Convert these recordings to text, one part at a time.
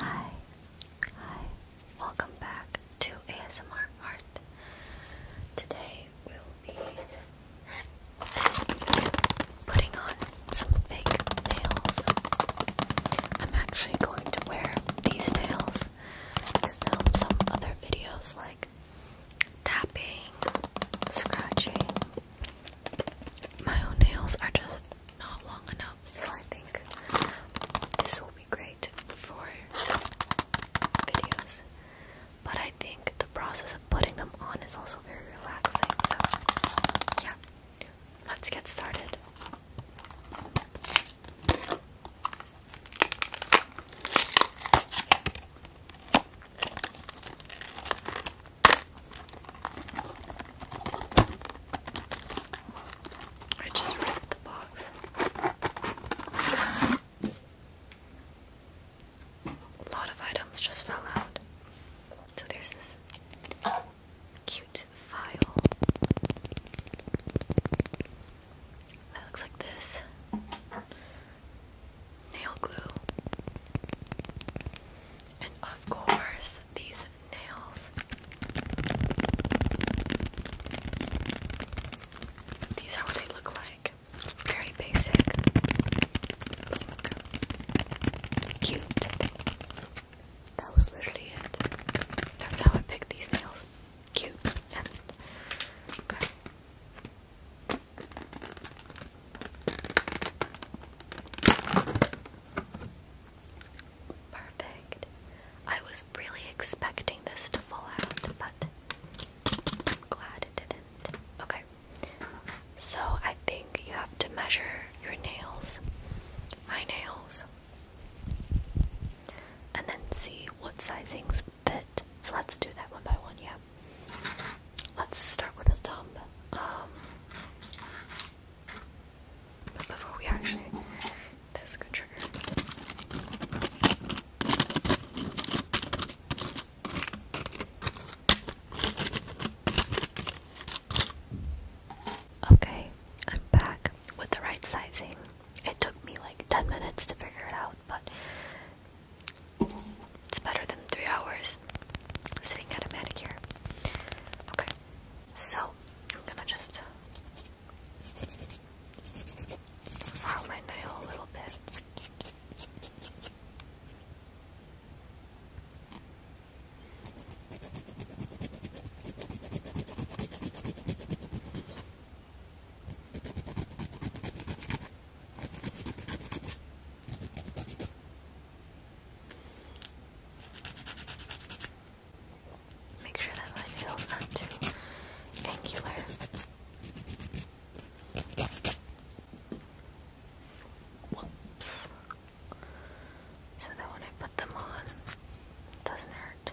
Hi, hi, welcome back to ASMR Art. Today we'll be putting on some fake nails. I'm actually going to wear these nails to film some other videos like tapping, scratching. My own nails are just not long enough, so I think this will be great for videos. But I think the process of putting them on is also very relaxing, so yeah, let's get started. I just ripped the box. A lot of items just fell out. So there's this cute file that looks like this nail glue, and of course, these nails. These are what they look like. Very basic. Cute. That was literally it. That's how I picked these nails. Cute Perfect. I was really expecting this to fall out, but glad it didn't. Okay. So I think you have to measure your nails, my nails, and then see what sizings fit. So let's do that one by one, yeah. Let's start with a thumb. Um, before we actually, this is a good trigger. Okay, I'm back with the right sizing. It took me like 10 minutes to figure it out, but it's better than three hours sitting at a manicure. Okay, so I'm gonna just file my nail a little bit. Make sure that my nails aren't too angular. Whoops. So that when I put them on, it doesn't hurt.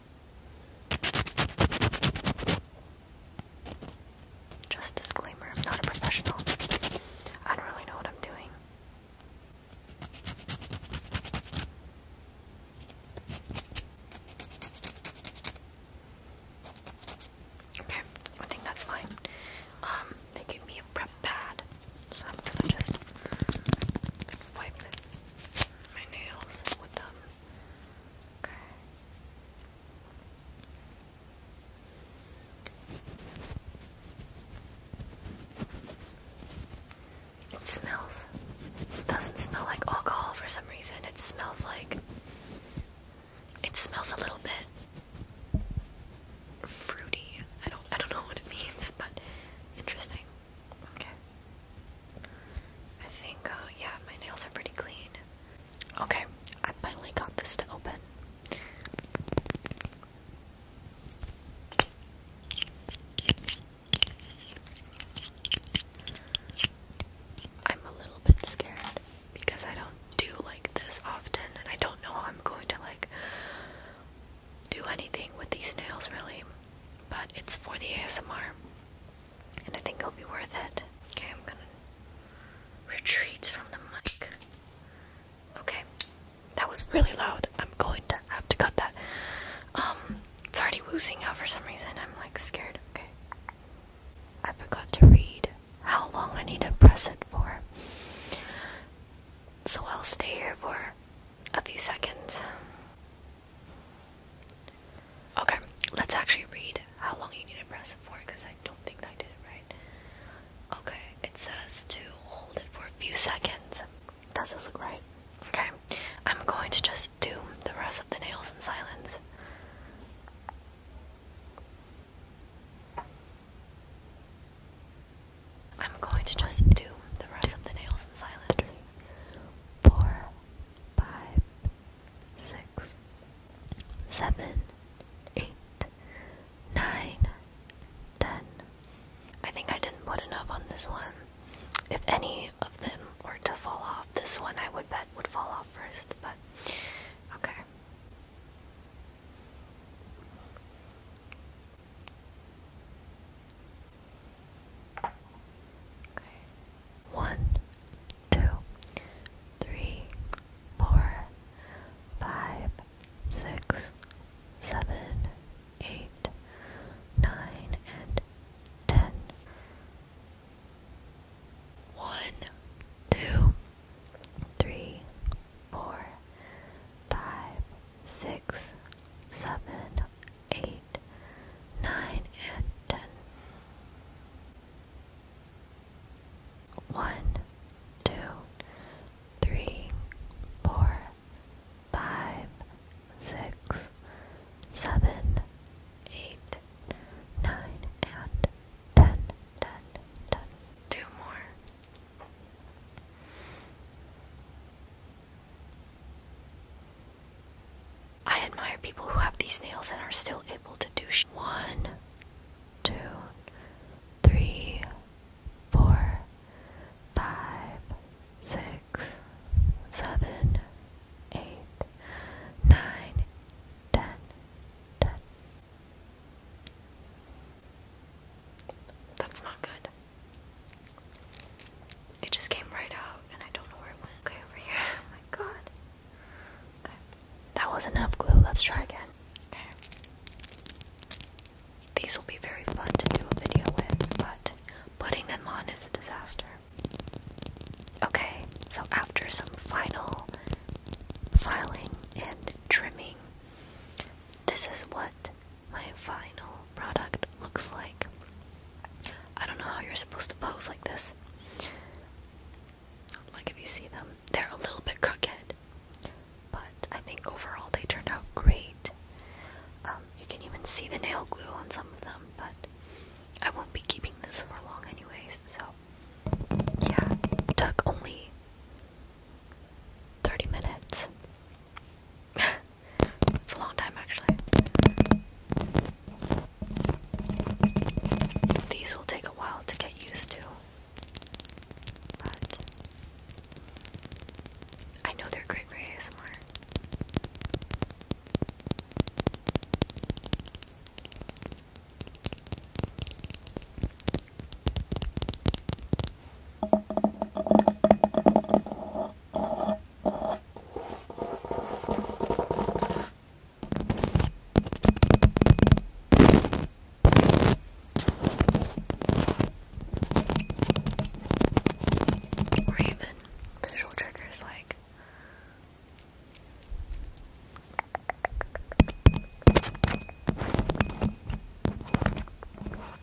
Just disclaimer, I'm not a professional. I don't really know what I'm doing. Okay, I think that's fine. Um, they gave me a prep pad, so I'm gonna just wipe my nails with them. Okay. It smells. doesn't smell like alcohol for some reason. It smells like. It smells a little bit fruity. I don't. I don't know what it means, but interesting. Okay. I think, uh, yeah, my nails are pretty clean. Okay, I finally got this to open. I'm a little bit scared because I don't do like this often and I don't know how I'm going to like do anything with these nails really, but it's for the ASMR and I think it'll be worth it. Okay, I'm gonna retreat from the mic. Okay, that was really loud. I'm going to have to cut that. Um, it's already woozing out for some reason. I'm like scared. Okay, I forgot to read how long I need to press it for. So I'll stay here for a few seconds. Okay, let's actually read how long you need to press it for because I don't think I did it right. Okay, it says to hold it for a few seconds. That Does not look right? Okay, I'm going to just do the rest of the nails in silence. I'm going to just do the rest of the nails in silence for five, six, seven, eight, nine, ten. I think I didn't put enough on this one. If any of them were to fall off, this one I would bet would fall off first, but okay. Okay. One, two, three, four, five, six, seven, eight, nine, and ten. One, two, three, four, five, six, seven, eight, nine, and ten. One, two, three, four, five, six, seven, eight, nine, and ten. Ten, ten. Two more. I admire people who have these nails and are still able to do sh one, two, three, four, five, six, seven, eight, nine, ten, ten. That's not good. It just came right out, and I don't know where it went. Okay, over here. Oh my god. That wasn't enough glue. Let's try again. Okay. These will be very fun to do a video with, but putting them on is a disaster. Okay, so after some final filing and trimming, this is what my final product looks like. I don't know how you're supposed to pose like this. Like if you see them, they're a little bit crooked, but I think overall they turned out great. Um, you can even see the nail glue on some of them, but I won't be keeping this for long, anyways. So yeah, took only 30 minutes. It's a long time actually. These will take a while to get used to. But I know they're great for or even visual triggers like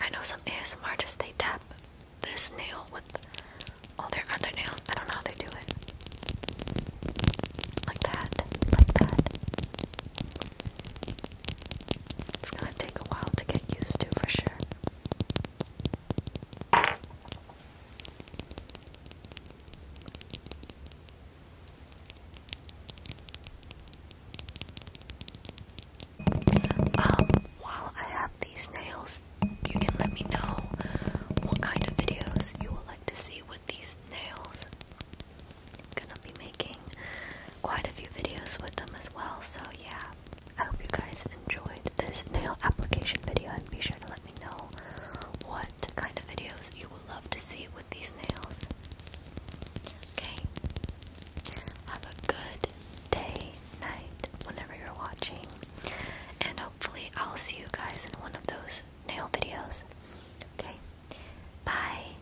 I know some ASM artists they tap this nail with all their other nails. I don't know how they do it. Like that. Like that. It's gonna take a while to get used to for sure. Um, while I have these nails, you can let me know what kind of videos you would like to see with these nails. gonna be making quite a few videos with them as well. So, yeah, I hope you guys enjoyed this nail application video and be sure to let me know what kind of videos you would love to see with these nails. Okay, have a good day, night, whenever you're watching, and hopefully, I'll see you guys in one of those nail videos. Okay, bye.